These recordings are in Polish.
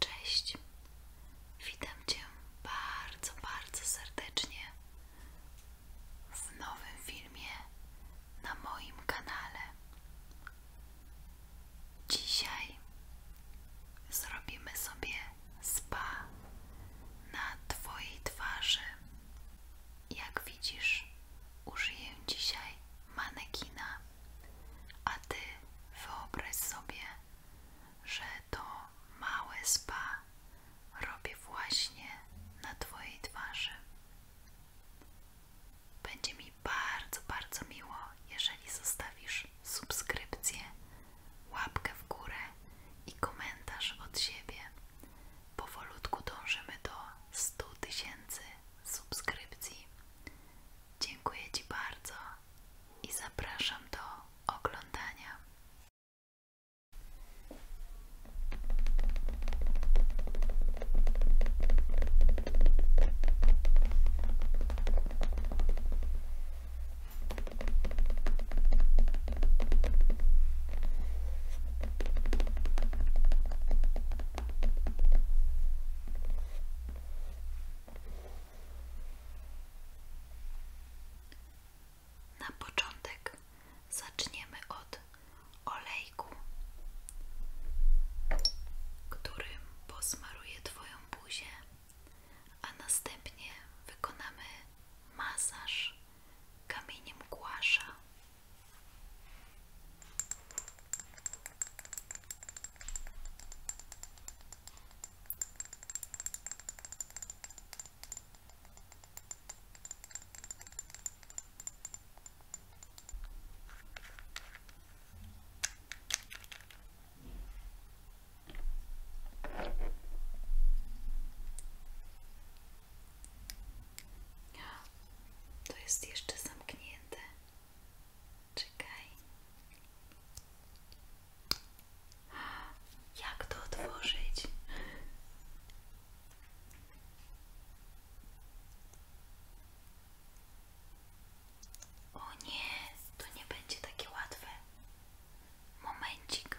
Cześć, witam Cię bardzo, bardzo serdecznie w nowym filmie na moim kanale. Dzisiaj zrobimy sobie spa na Twojej twarzy. Jak widzisz, użyję dzisiaj manekina a ty wyobraź sobie, że to małe spa robię właśnie na twojej twarzy. Będzie mi bardzo, bardzo miło, jeżeli zostawisz subskrypcję, łapkę w górę i komentarz od siebie. Powolutku dążymy do 100 tysięcy subskrypcji. Dziękuję Ci bardzo i zapraszam do oglądania. Na początek zaczniemy od olejku, którym posmaruję Twoją buzię, a następnie wykonamy masaż kamieniem głasza. To jest jeszcze zamknięte zamknięte. Czekaj. Jak to otworzyć? O nie, to nie będzie takie łatwe. Momencik.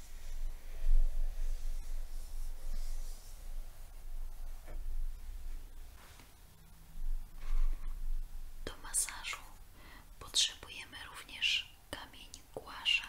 Do masażu potrzebujemy również kamień głasza.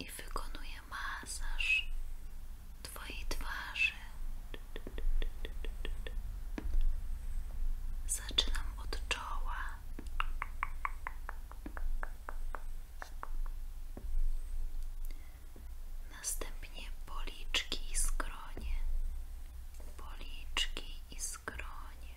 i wykonuję masaż Twojej twarzy. Zaczynam od czoła. Następnie policzki i skronie, policzki i skronie,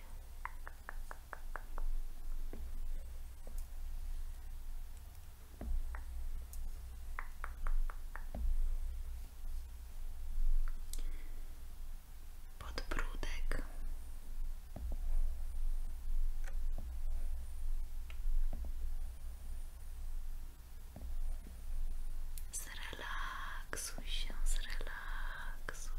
Podbródek. Zrelaksuj się, zrelaksuj.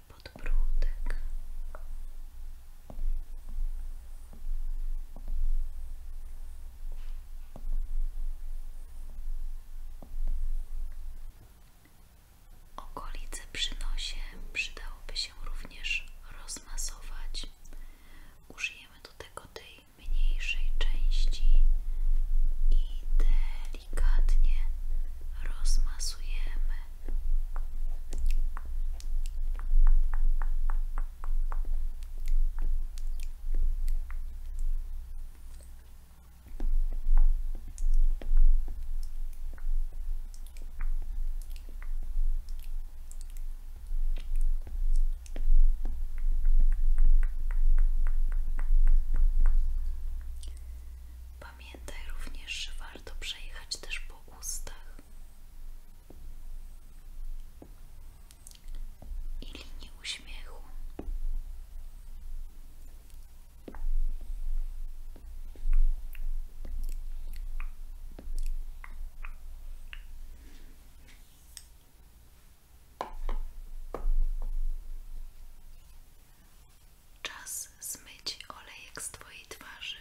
Okolice przy przydałoby się również rozmasować. Użyjemy do tego tej mniejszej części i delikatnie rozmasujemy. Pamiętaj również, że warto przejechać też po ustach i linii uśmiechu. Czas zmyć olejek z Twojej twarzy.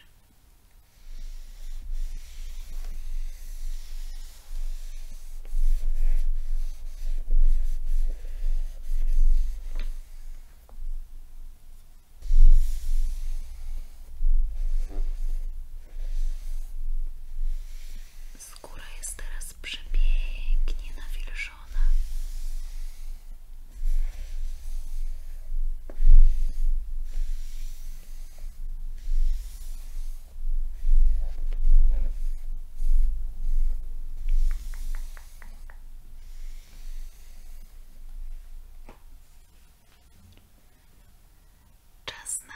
Skóra jest teraz przepięknie nawilżona. Czas na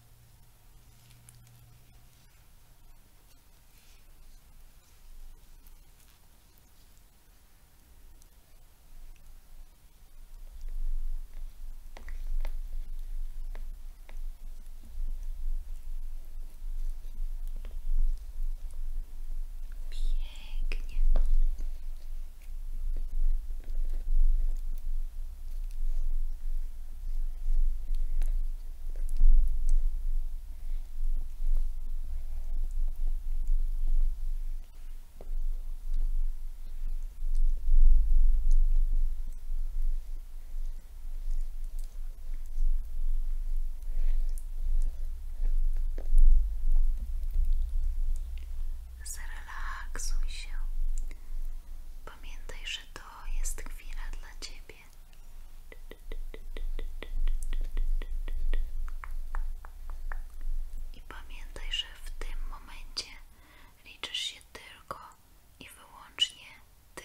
Pięknie. Zrelaksuj się. Pamiętaj, że to to jest chwila dla Ciebie. I pamiętaj, że w tym momencie liczysz się tylko i wyłącznie Ty.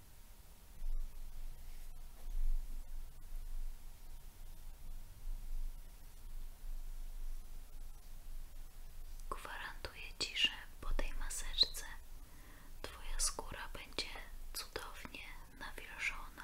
Gwarantuję Ci, że po tej maseczce Twoja skóra będzie cudownie nawilżona.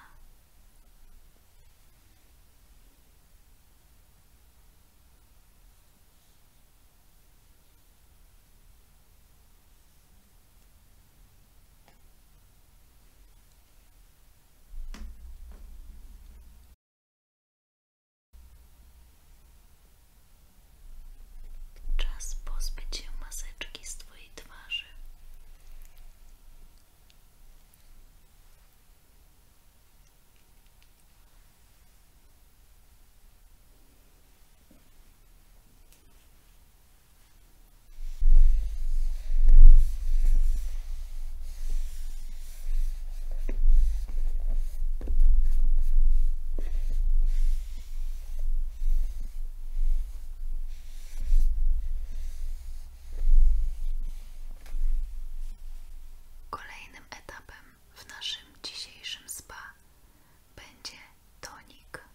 Czas pozbyć się maseczki z Twojej twarzy. Kolejnym etapem w naszym dzisiejszym spa będzie Donik.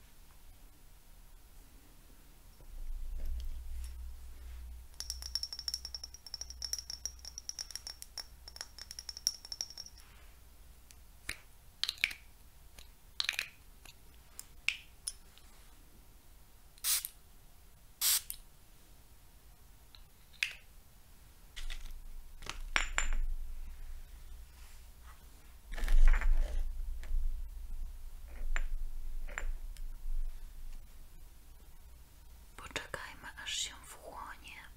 Poczekajmy, aż się wchłonie.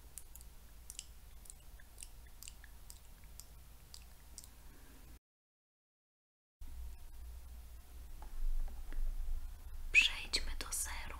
Przejdźmy do serum.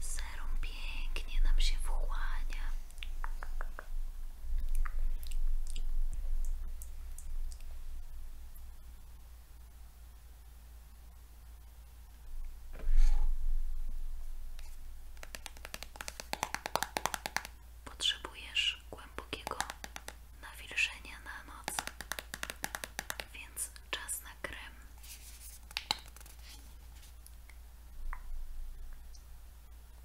Serum pięknie nam się wchłania. Potrzebujesz głębokiego nawilżenia na noc, więc czas na krem.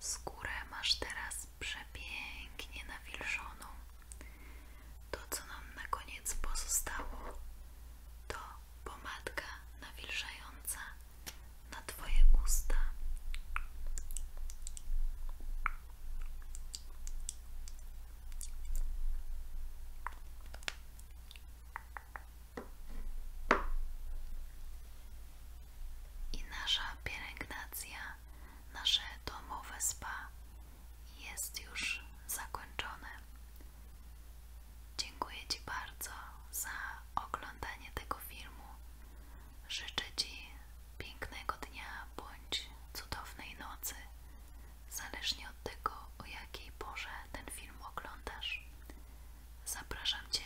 Skórę masz teraz przepięknie nawilżoną. To, co nam na koniec pozostało, to pomadka nawilżająca na Twoje usta. I nasza pielęgnacja, nasze domowe spa jest już zakończone. Dziękuję Ci bardzo za oglądanie tego filmu. Życzę Ci pięknego dnia bądź cudownej nocy zależnie od tego, o jakiej porze ten film oglądasz. Zapraszam Cię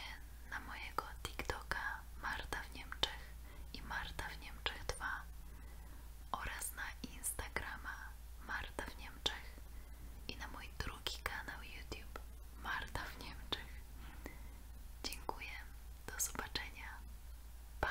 na mojego TikToka Marta w Niemczech i Marta w Niemczech 2 oraz na Instagrama Marta w Niemczech i na mój drugi kanał YouTube Marta w Niemczech. Dziękuję, do zobaczenia. Pa!